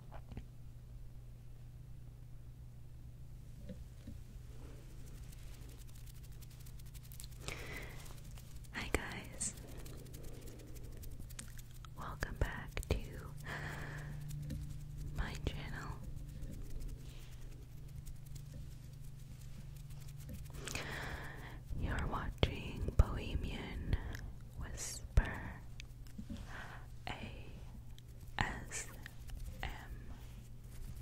Hi, guys. Welcome back to my channel. You're watching Bohemian Whisper a S M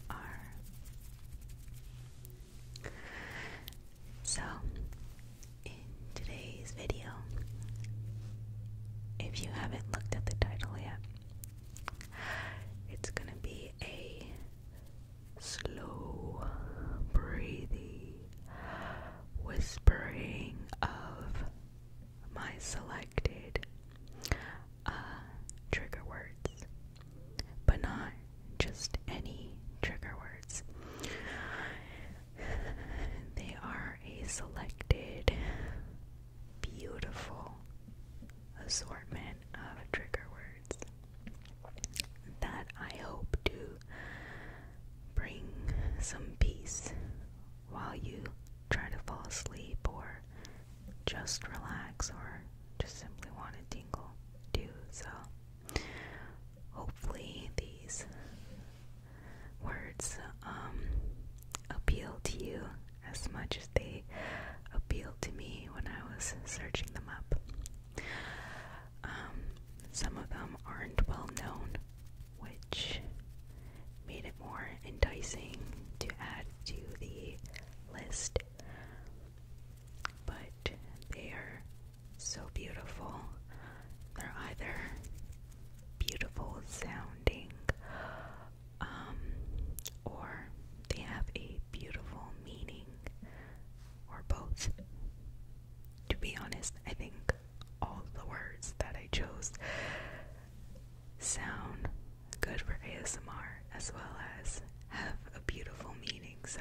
R. So, in today's video, if you haven't looked at the title yet, it's gonna be a slow breathing whispering of my selected uh, trigger words, but not just any trigger words. They are a selected, beautiful assortment of trigger words that I hope to bring some peace while you try to fall asleep or just relax or just simply want to tingle, do so. Hopefully, these words um, appeal to you as much as they appealed to me when I was searching them up. Um, some of them aren't well known, which made it more enticing to add to the list. But they are so beautiful. They're either beautiful sounding um, or they have a beautiful meaning, or both. To be honest, I think all the words that I chose sound good for ASMR as well as have a beautiful meaning. So,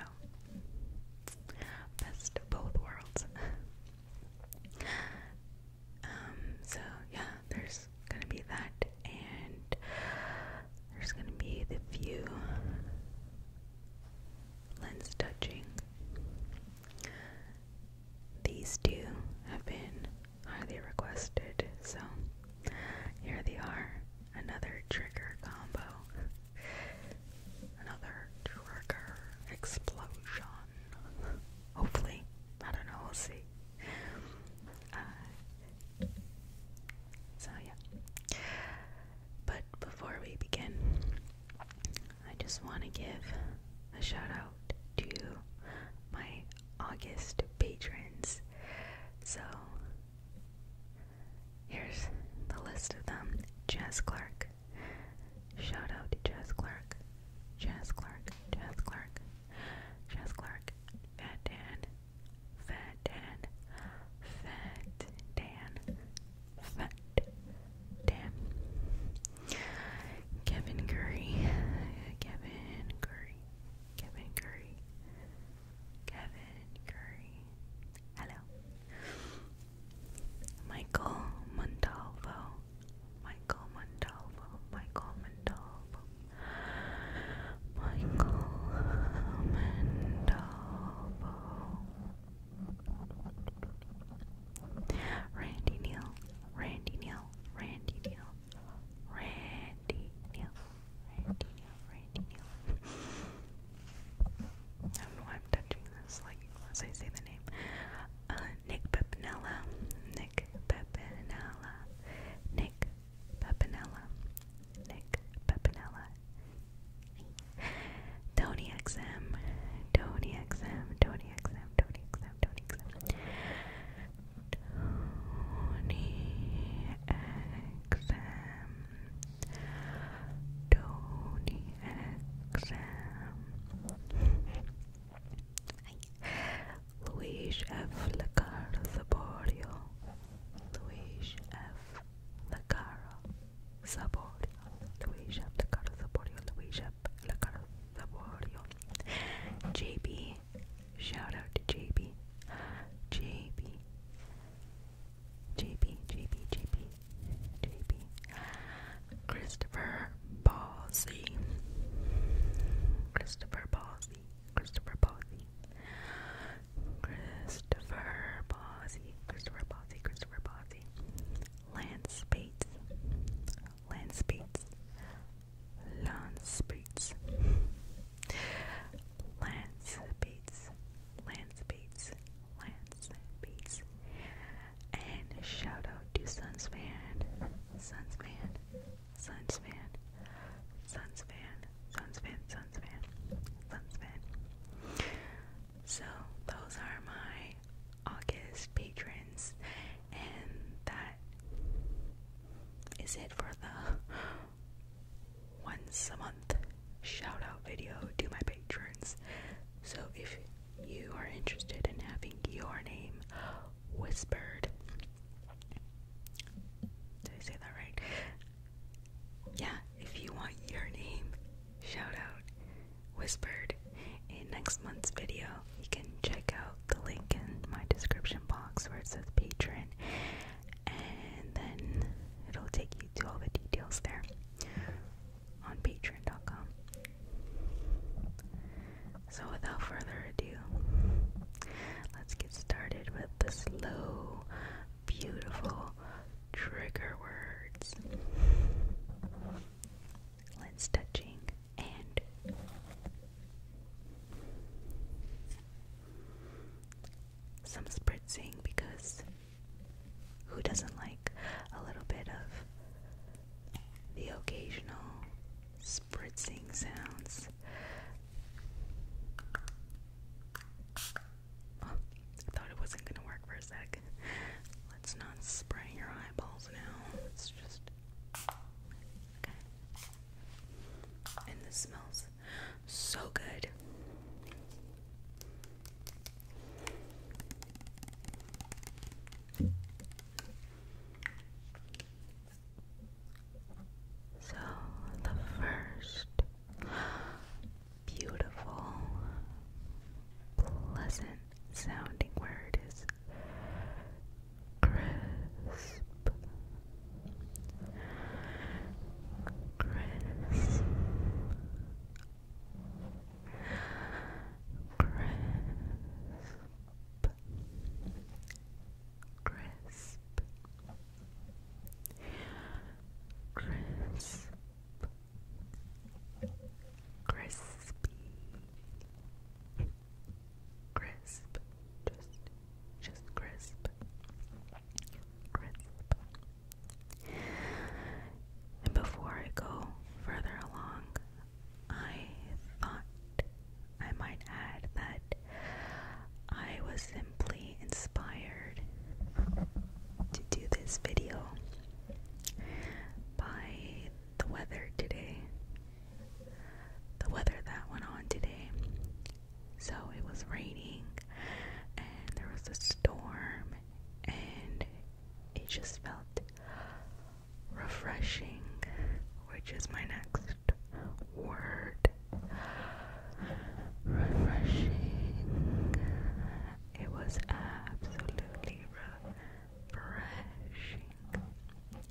best of both worlds. Um, so, yeah, there's gonna be that, and there's gonna be the few lens touching these two have been highly requested, so here they are. Another trigger combo. Another trigger explosion. Hopefully. I don't know, we'll see. Uh, so, yeah. But before we begin, I just want to give a shout out to my August patrons. So here's the list of them. Jess Clark. Shout out to Jess Clark. Jess Clark. Jess Clark. Jess Clark. Fat Dan. Fat Dan. Fat Dan. Fat Dan. Kevin Curry, Kevin Curry, Kevin Curry, Kevin Curry. Hello. Michael Montalvo, Michael Montalvo, Michael Montalvo, Michael Montalvo. Randy Neal, Randy Neal, Randy Neal, Randy Neal, Randy Neal, Randy Neal. I don't know why I'm touching this like as I say the name. Uh, Nick Pepinella, Nick Pepinella, Nick Pepinella, Nick Pepinella. Tony XM, Tony XM, Tony XM, Tony XM, Tony XM. Tony exam Tony exam Luís F. Lacaro Saborio Luís F. Lacaro Saborio Luís F. Lacaro Saborio Luís F. Lacaro Laborio. JB, shout out to JB. JB. JB, JB, JB, JB. Christopher Balsey. Christopher Balsey. Christopher Balsey. Christopher Balsey. Christopher Balsey. Christopher Balsey. Lance Bates land speeds, land speeds, land speeds, land speeds, land speeds, and shout out to Sunsman, Sunsman, Sunsman, Sunsman, Sunsman, Sunsman, Sunsman. So those are my August patrons and that is it for the once a month shout out video to my patrons. So if you are interested in having your name whispered, did I say that right? Yeah, if you want your name shout whispered in next month's video, you can check out the link in my description box where it says Patreon, and then it'll take you to all the details there on patreon.com. So, without further ado, let's get started with the slow, beautiful trigger words lens touching and some spritzing because who doesn't like a little bit of the occasional spritzing sounds? I thought it wasn't going to work for a sec. Let's not spray your eyeballs now. Let's just and this smells so good. So, the first beautiful, pleasant sounding word is crisp, crisp, crisp, crisp, crisp. Crispy, Crisp. Just just crisp. Crisp. And before I go further along, I thought I might add that I was simply inspired to do this video by the weather today. The weather that went on today. So it was raining and there was a storm and it just felt refreshing, which is my next word. Refreshing. It was absolutely refreshing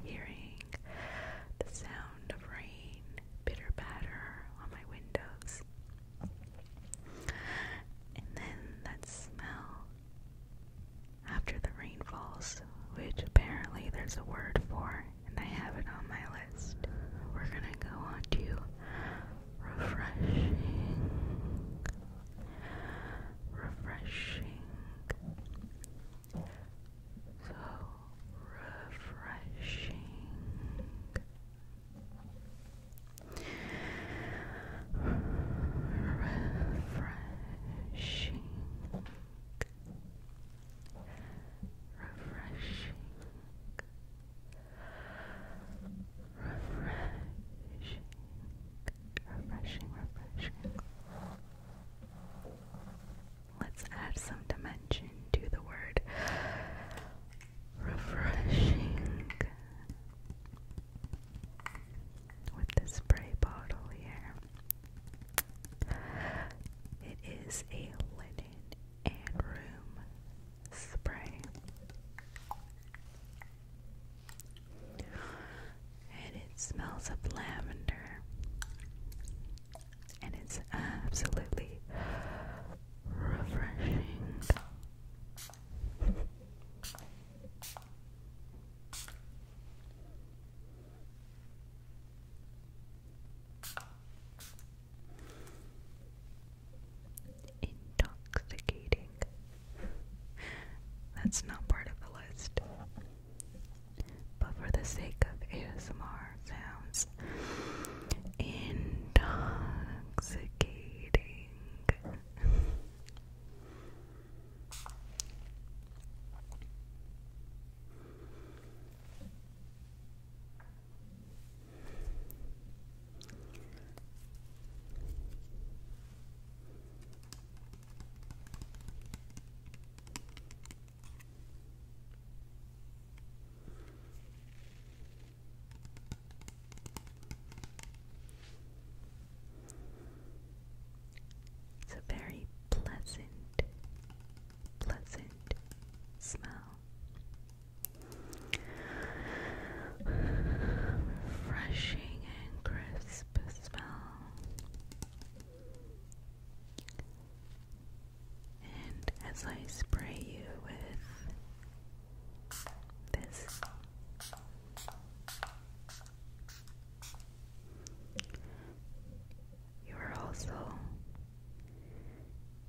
hearing the sound of rain bitter patter on my windows. And then that smell after the rain falls, which apparently there's a word for, and I have it on my list. We're gonna go on refreshing, refreshing. So refreshing. Refreshing. Refreshing. Refreshing. Refreshing, refreshing. Let's add some dimension to the word refreshing with the spray bottle here. It is a linen and room spray. And it smells of lavender and it's absolutely refreshing. Intoxicating. That's not part of the list but for the sake of ASMR sounds intoxicating. It's a very pleasant, pleasant smell. Refreshing and crisp smell. And as I spray you with this, you are also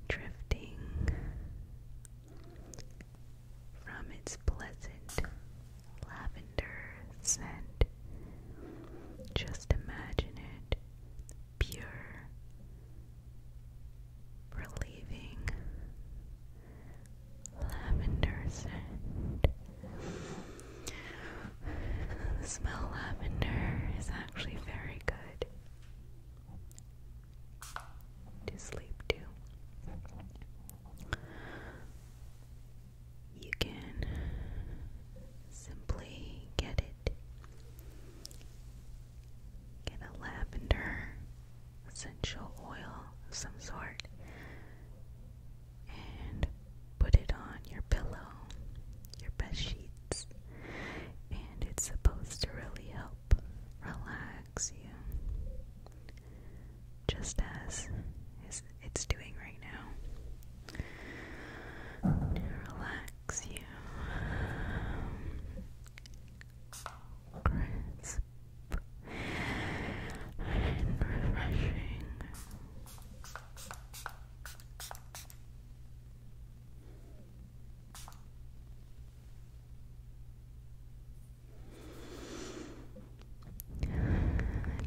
drifting from its pleasant lavender scent. Just imagine it pure, relieving lavender The smell lavender is actually very good to sleep to. You can simply get Get a lavender essential oil of some sort and put it on your pillow, your bed sheets, and it's supposed to really help relax you. Just as it's doing right now. Relax relax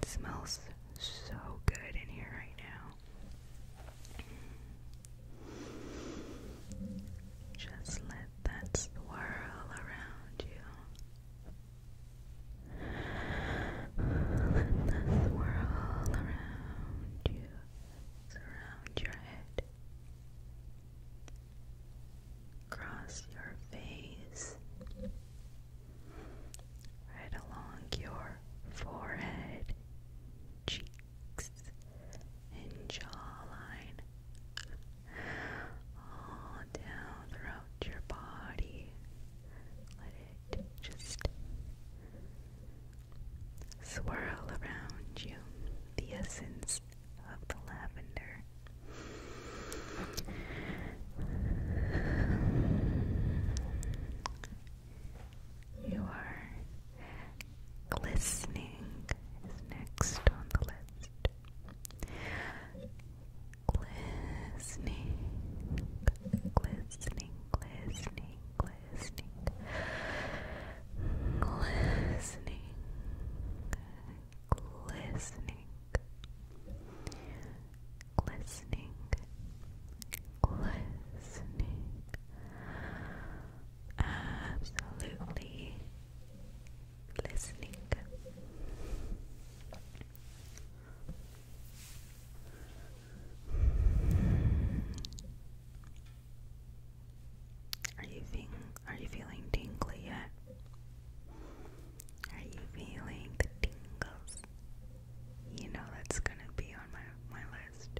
It smells so good in here right now. Just let that swirl around you. Let that swirl around you, surround your head, cross your face, right along your forehead cheeks, and jawline, all down throughout your body. Let it just swirl around you the essence of the lavender. You are glistening is next on the list. Glistening, glistening, glistening, glistening, glistening, glistening, glistening, glistening, Absolutely listening. Are you feeling are you feeling tingly yet? Are you feeling the tingles? You know that's gonna be on my my list.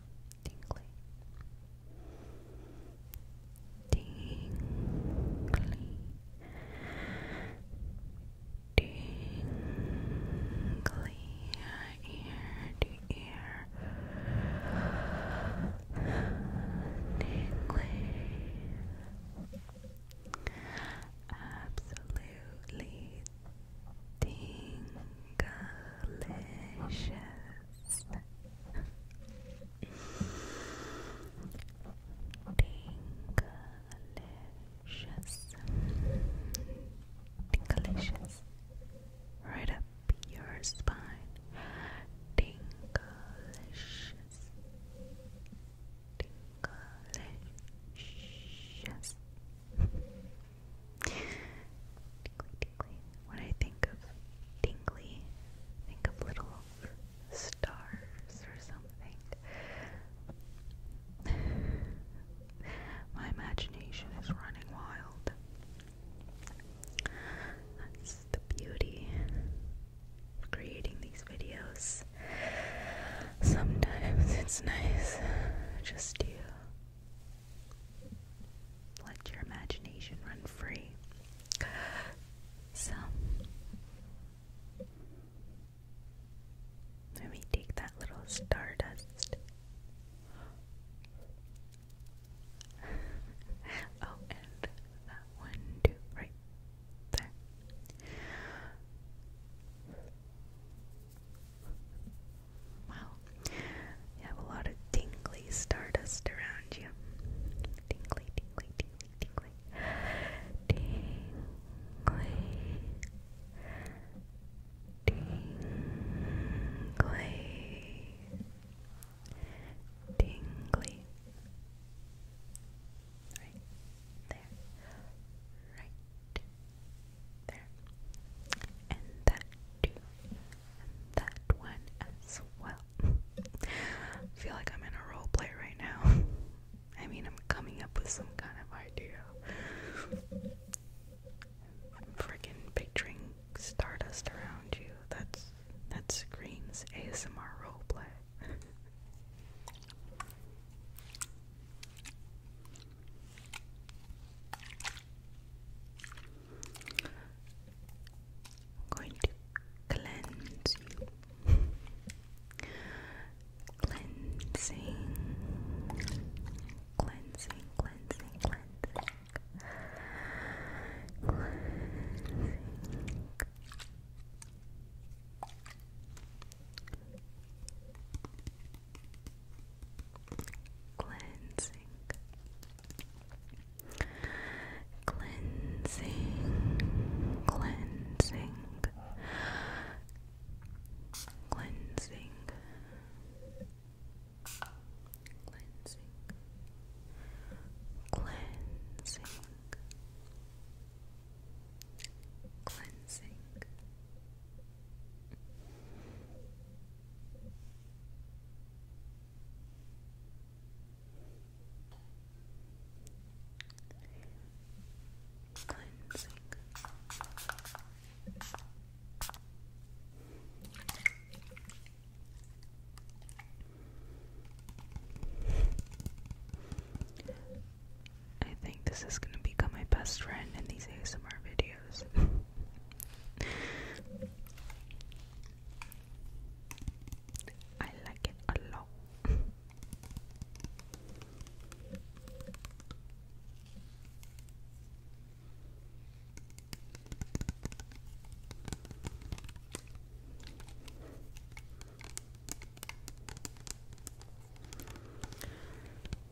tingly, tingly, tingly, ear to ear, tingly, absolutely Tingalicious. Tingalicious. Tingalicious. Right up your spine. Tingalicious. Tingalicious. When I think of tingly, think of little stars or something. My imagination is running wild. That's the beauty of creating these videos. Sometimes it's nice just to let your imagination run free. So, let me take that little stardust. oh, and that one, too, right there. Wow, you have a lot of tingly stardust around you. Tingly, tingly, tingly, tingly. Tingly. Tingly. Tingly. Right there. Right there. And that too. And that one as well. I feel like I'm in a role right now. I mean, I'm coming up with some kind of idea. freaking picturing stardust around you. That's that screams ASMR roleplay. I'm going to cleanse you. cleansing, cleansing, cleansing, cleansing, cleansing cleansing cleansing cleansing cleansing cleansing cleansing cleansing I think this is going to become my best friend in these ASMR videos. I like it a lot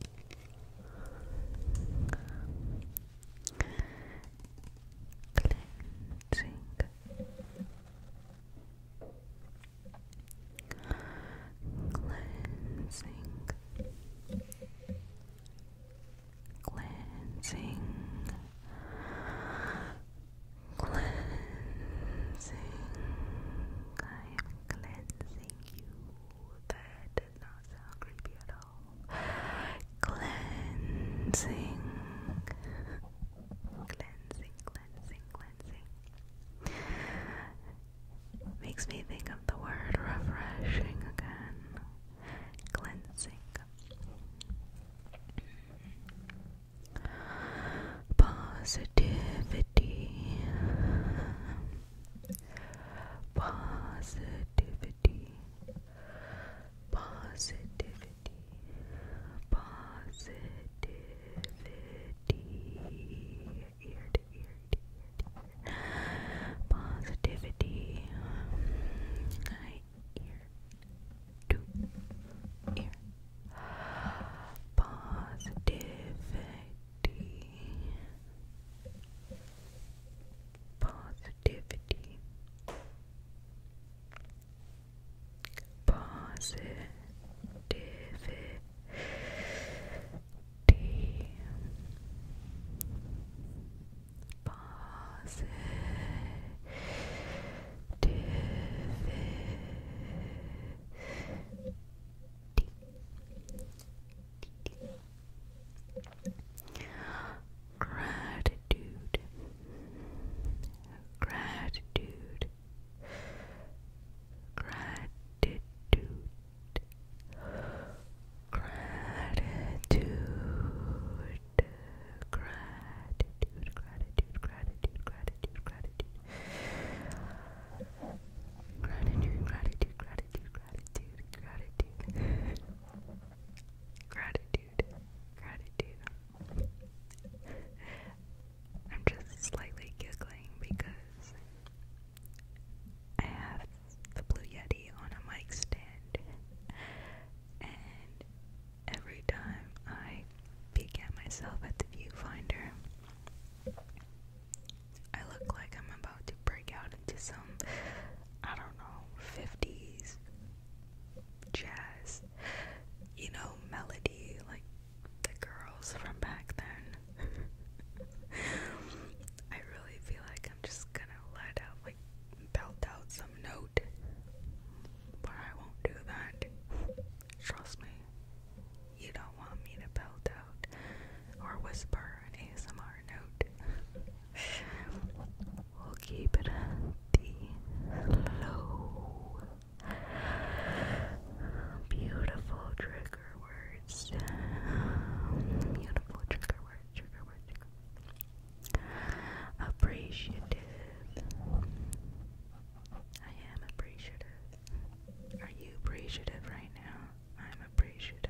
cleansing cleansing cleansing cleansing I am cleansing you that Cleansing. Cleansing, cleansing, cleansing. Makes me think of the word refreshing again. Cleansing. Positivity. Positivity. Positivity, positivity, ear to ear to ear to ear, positivity, ear to ear, positivity positivity positivity positivity Gratitude. Gratitude. Gratitude. Gratitude. Gratitude, gratitude, gratitude, gratitude, gratitude. Gratitude, gratitude, gratitude, gratitude, Gratitude. Gratitude. I'm just slightly giggling because I have the Blue Yeti on a mic stand, and every time I peek at myself at the viewfinder, I look like I'm about to break out to some, I don't know, 50s jazz, you know, melody like the girls from back then. I really feel like I'm just gonna let out, like, belt out some note, but I won't do that. Trust me, you don't want me to belt out or whisper an ASMR note. We'll keep it healthy, beautiful trigger words. Beautiful trigger words, trigger words. Appreciative. I am appreciative. Are you appreciative right now? I'm appreciative.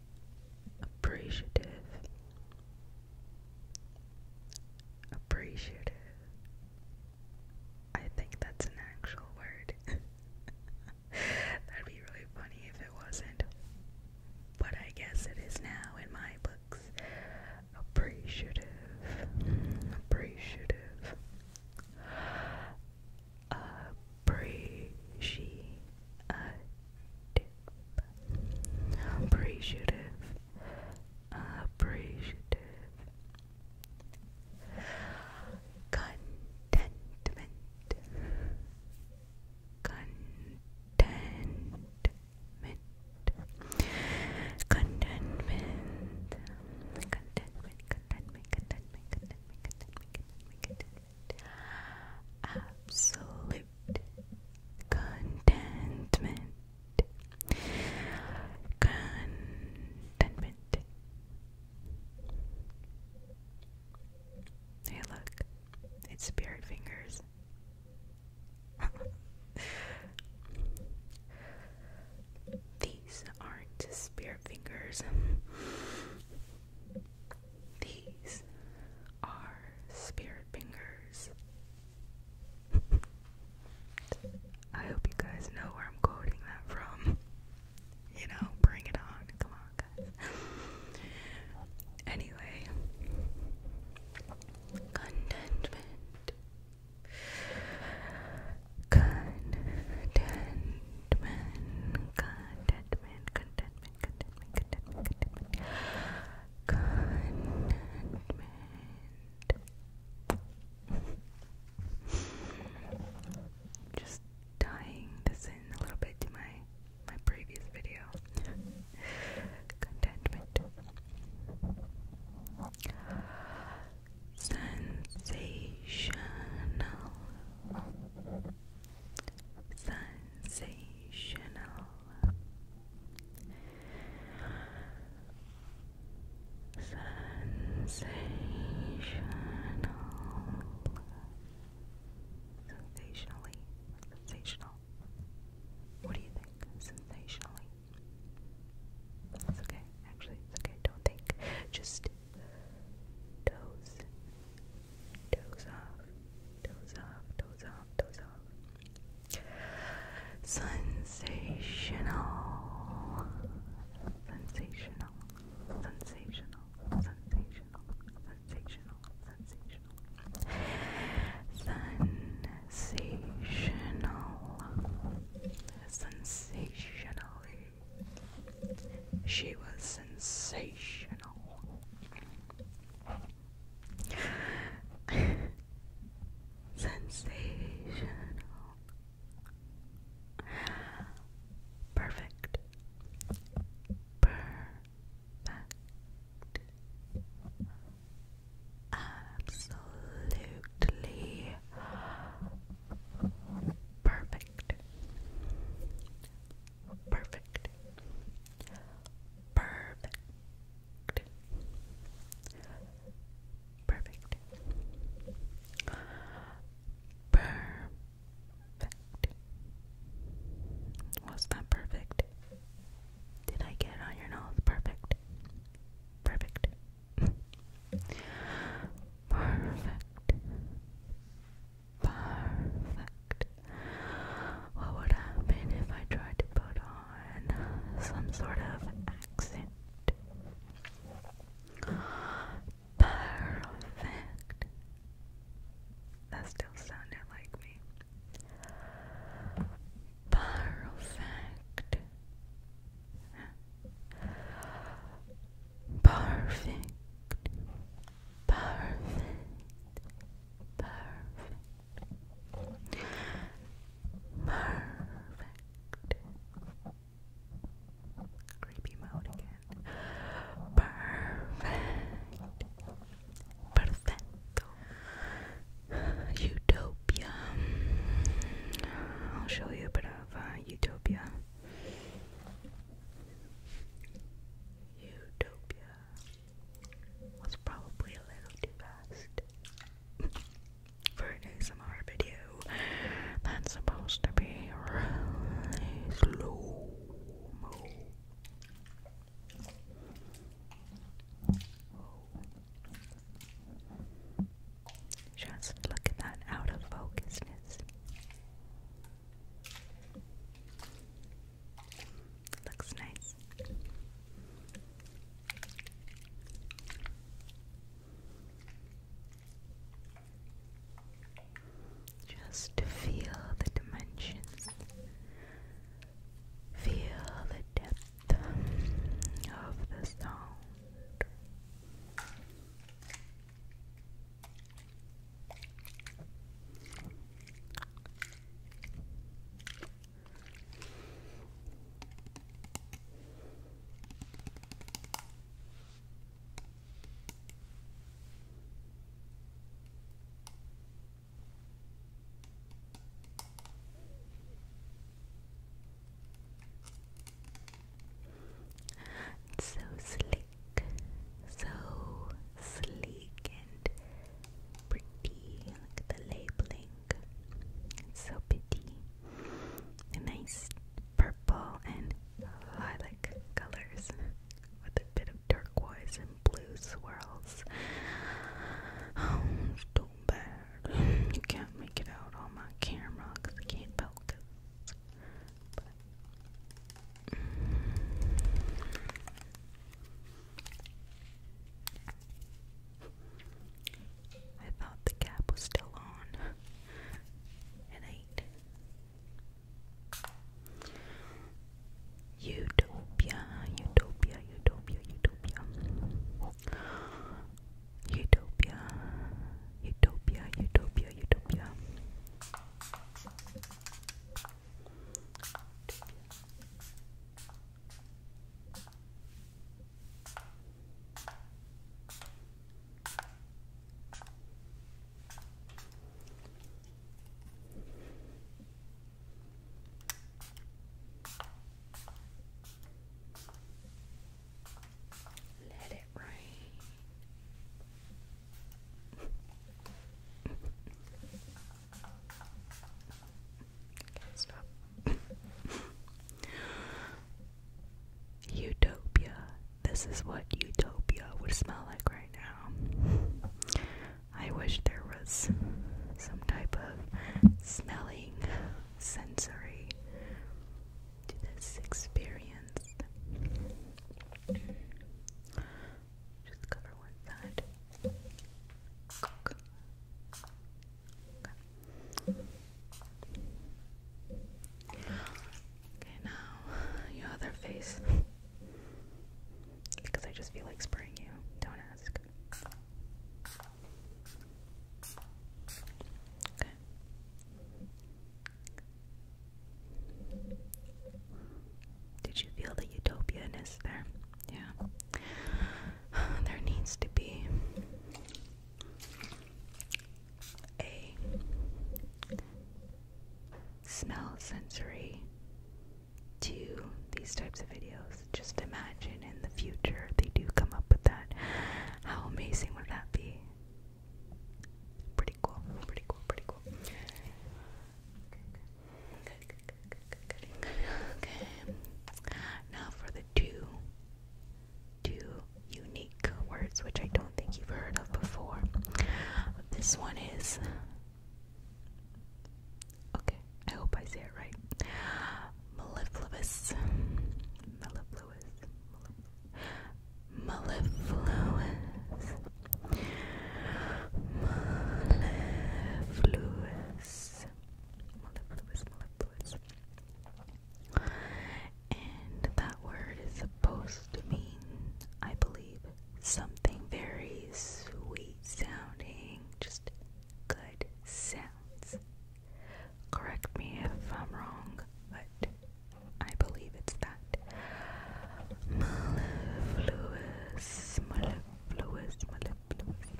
appreciative, appreciative. I think that's an actual word. That'd be really funny if it wasn't. But I guess it is now in my books. Appreciative. Appreciative. Uh, appreciative, appreciative, contentment, contentment, contentment, contentment, contentment, contentment, contentment absolute contentment, contentment. Hey, look, it's spirit fingers. These aren't spirit fingers. These are spirit fingers. I hope you guys know where I'm quoting that from. You know, bring it on. Come on, guys. anyway, contentment. Contentment. Contentment. Contentment contentment, contentment, contentment, Just tying this in a little bit to my my previous video. contentment. Sensational sensational sensational sensationally sensational what do you think sensationally it's okay actually it's okay don't think just Toes doze off, doze off, doze off, doze off. Sensational, sensational, sensational, sensational, sensational, sensational, sensational, sensationally. She was sensational. Sensational. Perfect. Perfect. Absolutely perfect. Perfect. Perfect. Perfect. Perfect. Was that perfect? Did I get on your nose? Perfect. perfect. Perfect perfect. What would happen if I tried to put on some sort of accent? Perfect. That still sounded like me. Perfect. Perfect. Perfect. Perfect. Perfect. Creepy mode again. Perfect. Perfecto. Utopia. I'll show you a bit of uh, Utopia. Utopia was probably a little too fast for an ASMR video that's supposed to be really slow Just look at that out of focusness. Looks nice. Just feel the dimensions, feel the depth of the sound. It's so slick, so sleek and pretty. Look at the labeling. so pretty. nice purple and oh, lilac colors with a bit of turquoise and blue swirls. Oh, too bad. You can't make it out on my camera because I can't focus. I thought the cap was still on. It ain't. Utopia, utopia, utopia, utopia. Utopia, utopia, utopia, utopia. Let it rain. utopia. This is what utopia would smell like right now. I wish there was some type of smelling sensory to this experience. Just cover one side. Okay. Okay, now your other face. Because I just feel like spraying you. Don't ask. Okay. Did you feel the utopianness there? yeah. There needs to be a smell sensory to these types of videos. Just imagine in the future they do come up with that. How amazing would that be? Pretty cool, pretty cool, pretty cool. Now for the two two unique words which I don't think you've heard of before. This one is Okay, I hope I say it right. Mellifluous. Mellifluous. Mellifluous. Mellifluous. Mellifluous, mellifluous. And that word is supposed to mean, I believe, something very sweet sounding, just good sounds. Correct me if I'm wrong, but I believe it's that. Mellifluous, mellifluous, mellifluous. Mellifluous.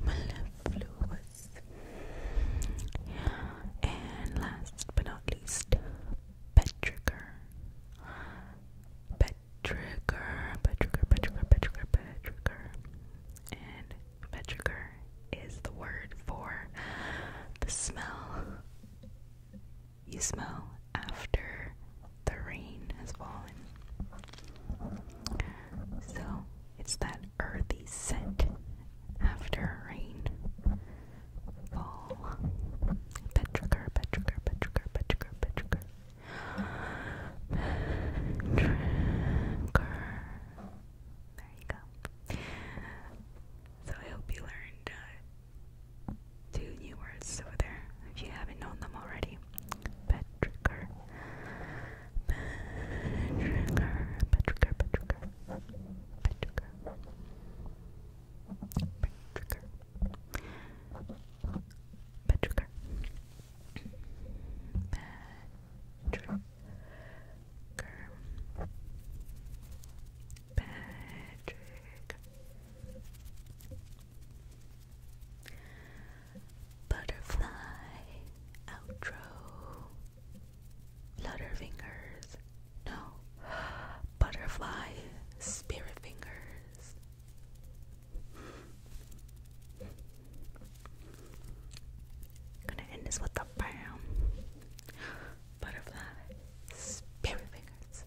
Mellifluous. And last but not least, Petrigger. Petrigger, Petrigger, Petrigger, Petrigger, Petrigger. And Petrigger is the word for the smell you smell after the rain has fallen. So it's that earthy scent after rain. Fall. Petrichor, petrichor, petrichor, petrichor, petrichor. Petrichor. There you go. So I hope you learned uh, two new words over there if you haven't known them already. Petrigger. Petrigger. Petrigger. Petrigger. Petrigger. Petrigger. Petrigger. Patrick. Butterfly outro. Flutterfingers. No. Butterfly spirit fingers. Gonna end this with a bam butterfly spirit fingers.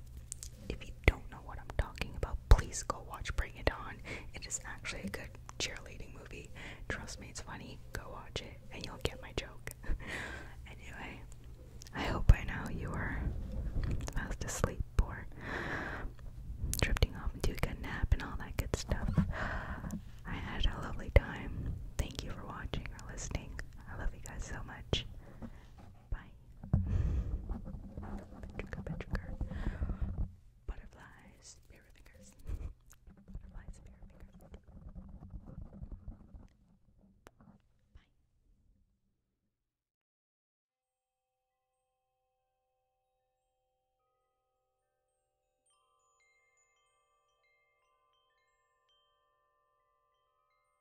If you don't know what I'm talking about, please go watch Bring It On. It is actually a good cheerleading movie. Trust me, it's funny. Go watch it and you'll get my joke. anyway, I hope by now you are fast asleep or drifting off to into a good nap and all that good stuff. I had a lovely time. Thank you for watching or listening. I love you guys so much. Bye. Petrica, petrica. Butterflies, spear fingers. Butterflies, spear fingers. Bye.